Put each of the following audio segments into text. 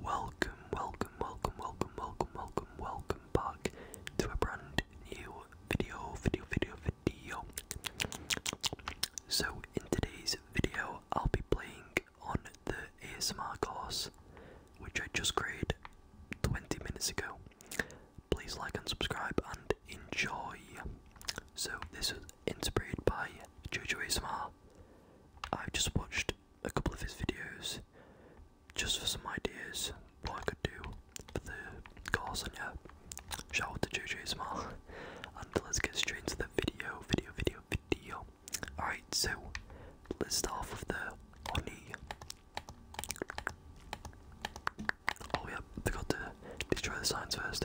Welcome, welcome, welcome, welcome, welcome, welcome, welcome back to a brand new video, video, video, video. So, in today's video, I'll be playing on the ASMR course, which I just created 20 minutes ago. Please like and subscribe and enjoy. So, this was inspired by JoJo's ASMR. I've just watched a couple of his videos just for some ideas what I could do for the cars yeah, shout out to JJ Smile. And let's get straight into the video, video, video, video. Alright, so let's start off with the honey. Oh yeah, forgot to destroy the signs first.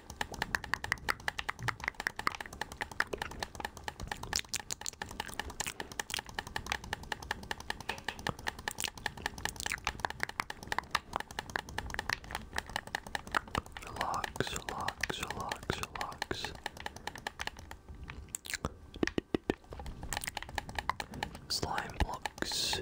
Relax, relax, relax, relax. Slime blocks.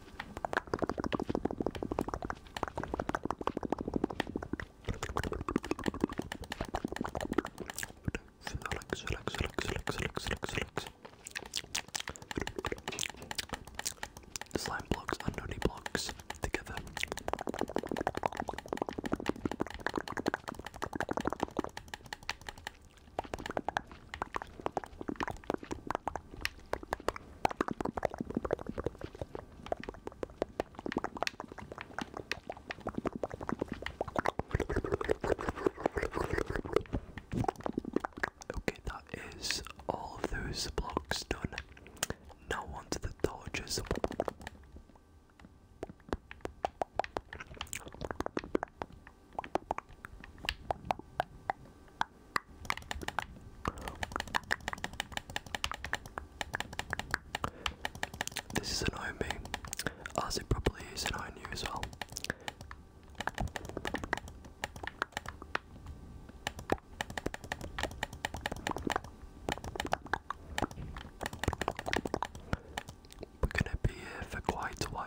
Relax, relax, relax, relax, relax, relax, relax. Slime blocks and honey blocks together. Okay, that is all of those blocks done. Now onto the torches. This is annoying me. as it probably is an ONU as well. We're gonna be here for quite a while.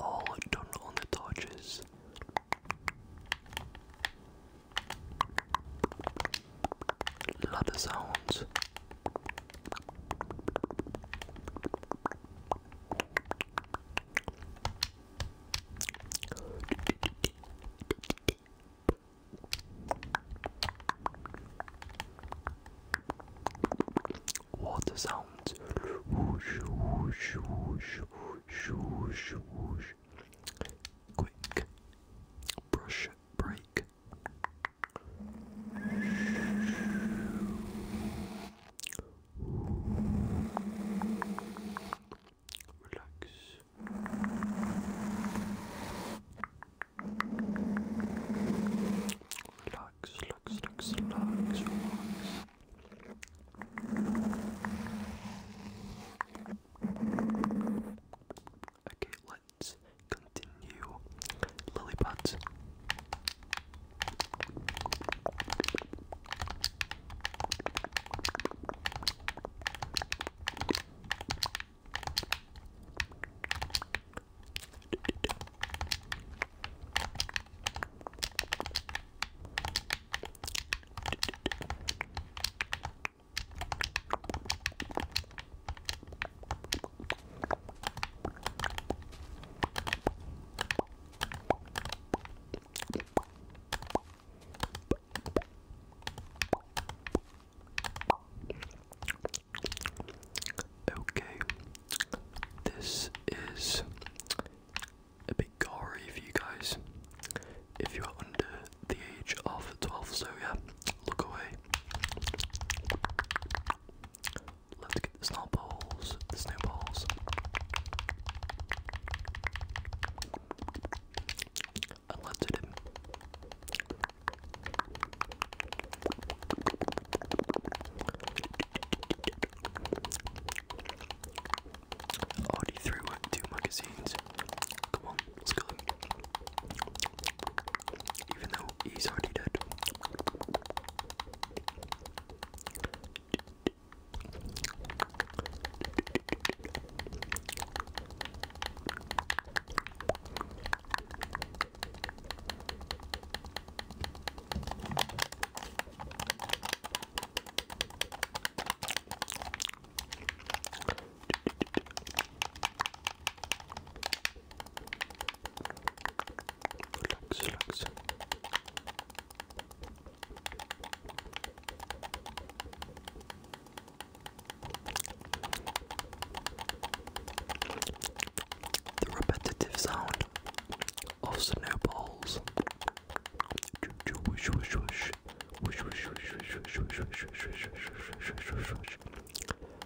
Oh, done on the torches love the sounds. Water sounds. Whoosh, whoosh, whoosh, whoosh, whoosh, whoosh. Quick brush break. relax, relax, relax, relax. Okay, let's continue. Lilliputs. Okay, this is a bit gory for you guys if you are under the age of 12, so yeah, Look away. Let's get the snowballs. snowballs. And let's Already threw two magazines. Come on, let's go. Even though He's already dead. The repetitive sound of snowballs.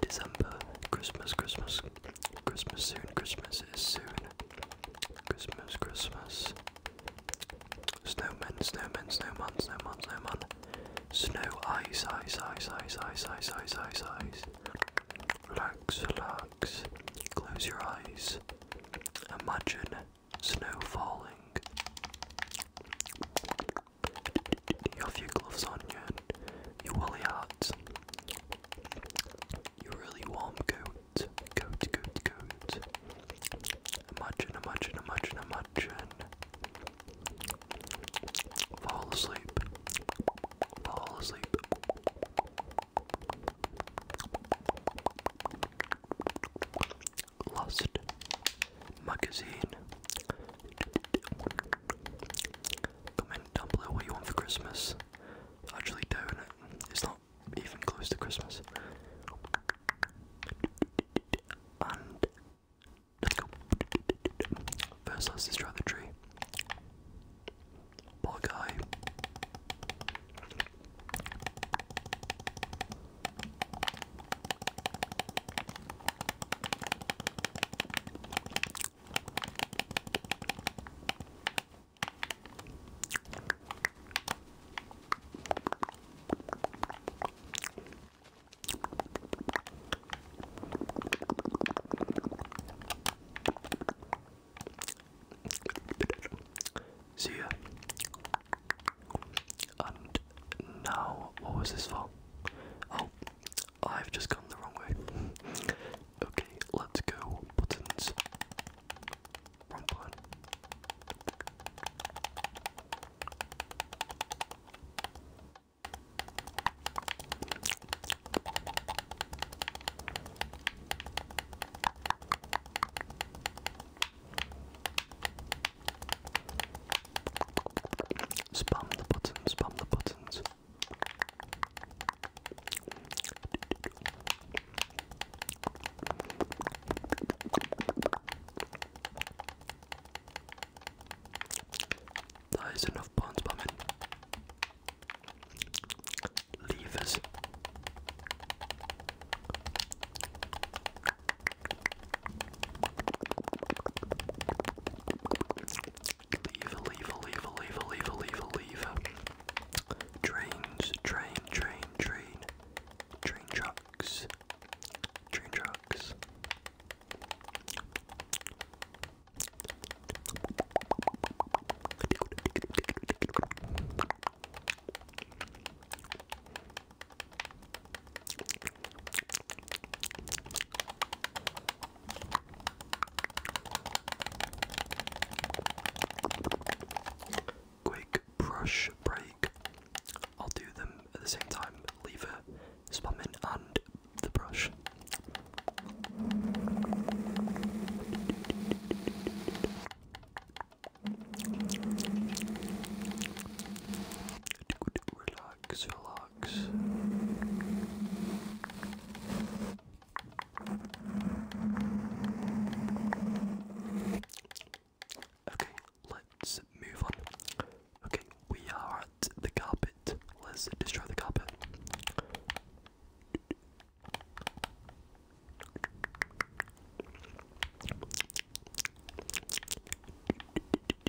December, Christmas, Christmas, Christmas soon, Christmas is soon, Christmas, Christmas, snowmen, snowmen, snowmen, snowmen, snowman, snow, ice, ice, ice, ice, ice, ice, ice, ice, ice, relax, relax, close your eyes, imagine snow falling. You have your gloves on, your, your woolly hat, your really warm coat, coat, coat, coat. Imagine, imagine, imagine, imagine. Fall asleep. Fall asleep. Lost magazine. Comment down below what you want for Christmas. actually don't. It's not even close to Christmas. And let's go. First, let's destroy the tree. Poor guy. See ya. And now, what was this I've just gone the wrong way. Okay, let's go. Buttons. Wrong Spam the button, spam the button. That is enough buttons, but I mean, levers. Lever, lever, lever, lever, lever, lever, lever. Trains, train, train, train. Train trucks. Train trucks. Quick brush break. I'll do them at the same time. Lever, spamming, and the brush relax, relax. Okay, let's move on. Okay, we are at the carpet. Let's destroy the carpet.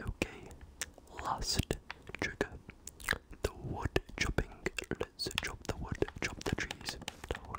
Okay, last trigger the wood chopping. Let's chop the wood, chop the trees down.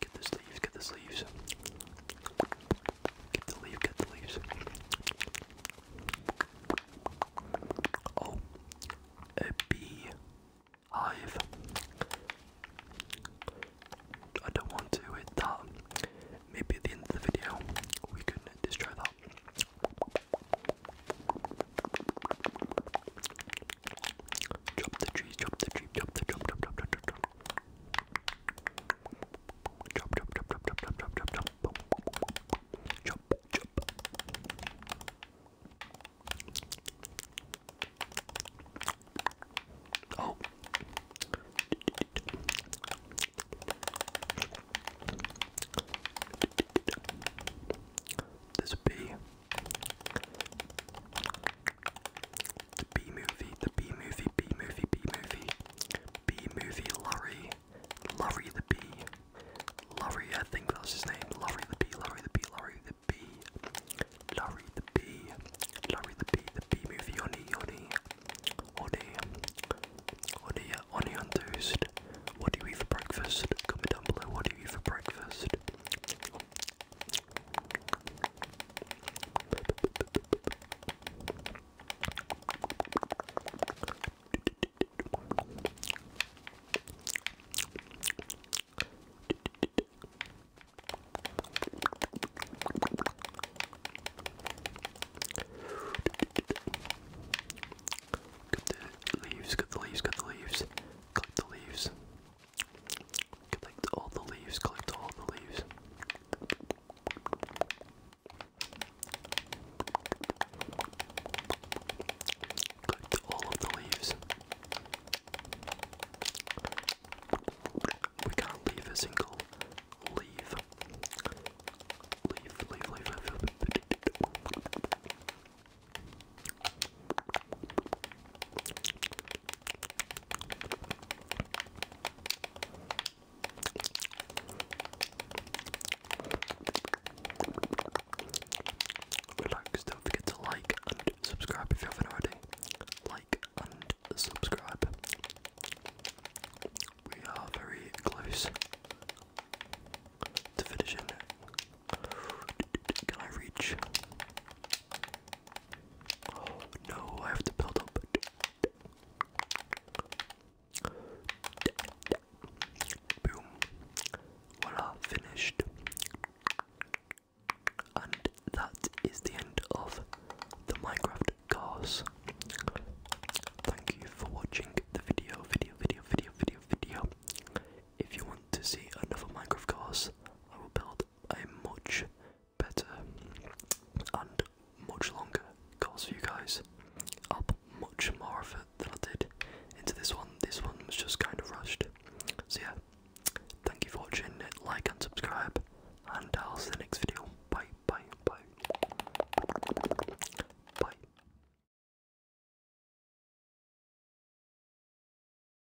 Get the leaves. get the sleeves. Get the leaf, get the leaves. Oh, a bee hive. I don't want to hit that. Maybe at the end of the video we can destroy that. Drop the trees, drop the tree, drop the drop, Chop, chop, chop, chop, chop, chop, chop, chop, chop. Chop, chop. Oh. There's a bee. The B movie, the B movie, B movie, B movie, B movie, Lurry, Lurry the B, Lorry. I think that's his name, Lorry the B, Lorry the B, Lorry the B, Lorry the B, Lorry the B, the B movie, Oni, Oni, Oni, Oni, uh, Oni on toast. What do you eat for breakfast? Comment down below, what do you eat for breakfast? Cut the leaves, cut the leaves, cut the leaves, clip the leaves. Collect all the leaves, collect all the leaves. Collect all of the leaves. We can't leave a single leaf. Leave, leave, leave, leave. leave. Relax, don't forget to like and subscribe if you haven't already. Like and subscribe. We are very close to finishing. Can I reach no, I have to build up. Boom. Voila, finished. And that is the end of the Minecraft cars. Thank you for watching the video, video, video, video, video, video. If you want to see another Minecraft cars, I will build a much better and much longer Cause for you guys. I'll put much more of it than I did into this one. This one was just kind of rushed. So yeah, thank you for watching. Like and subscribe, and I'll see you next video. Bye, bye, bye, bye.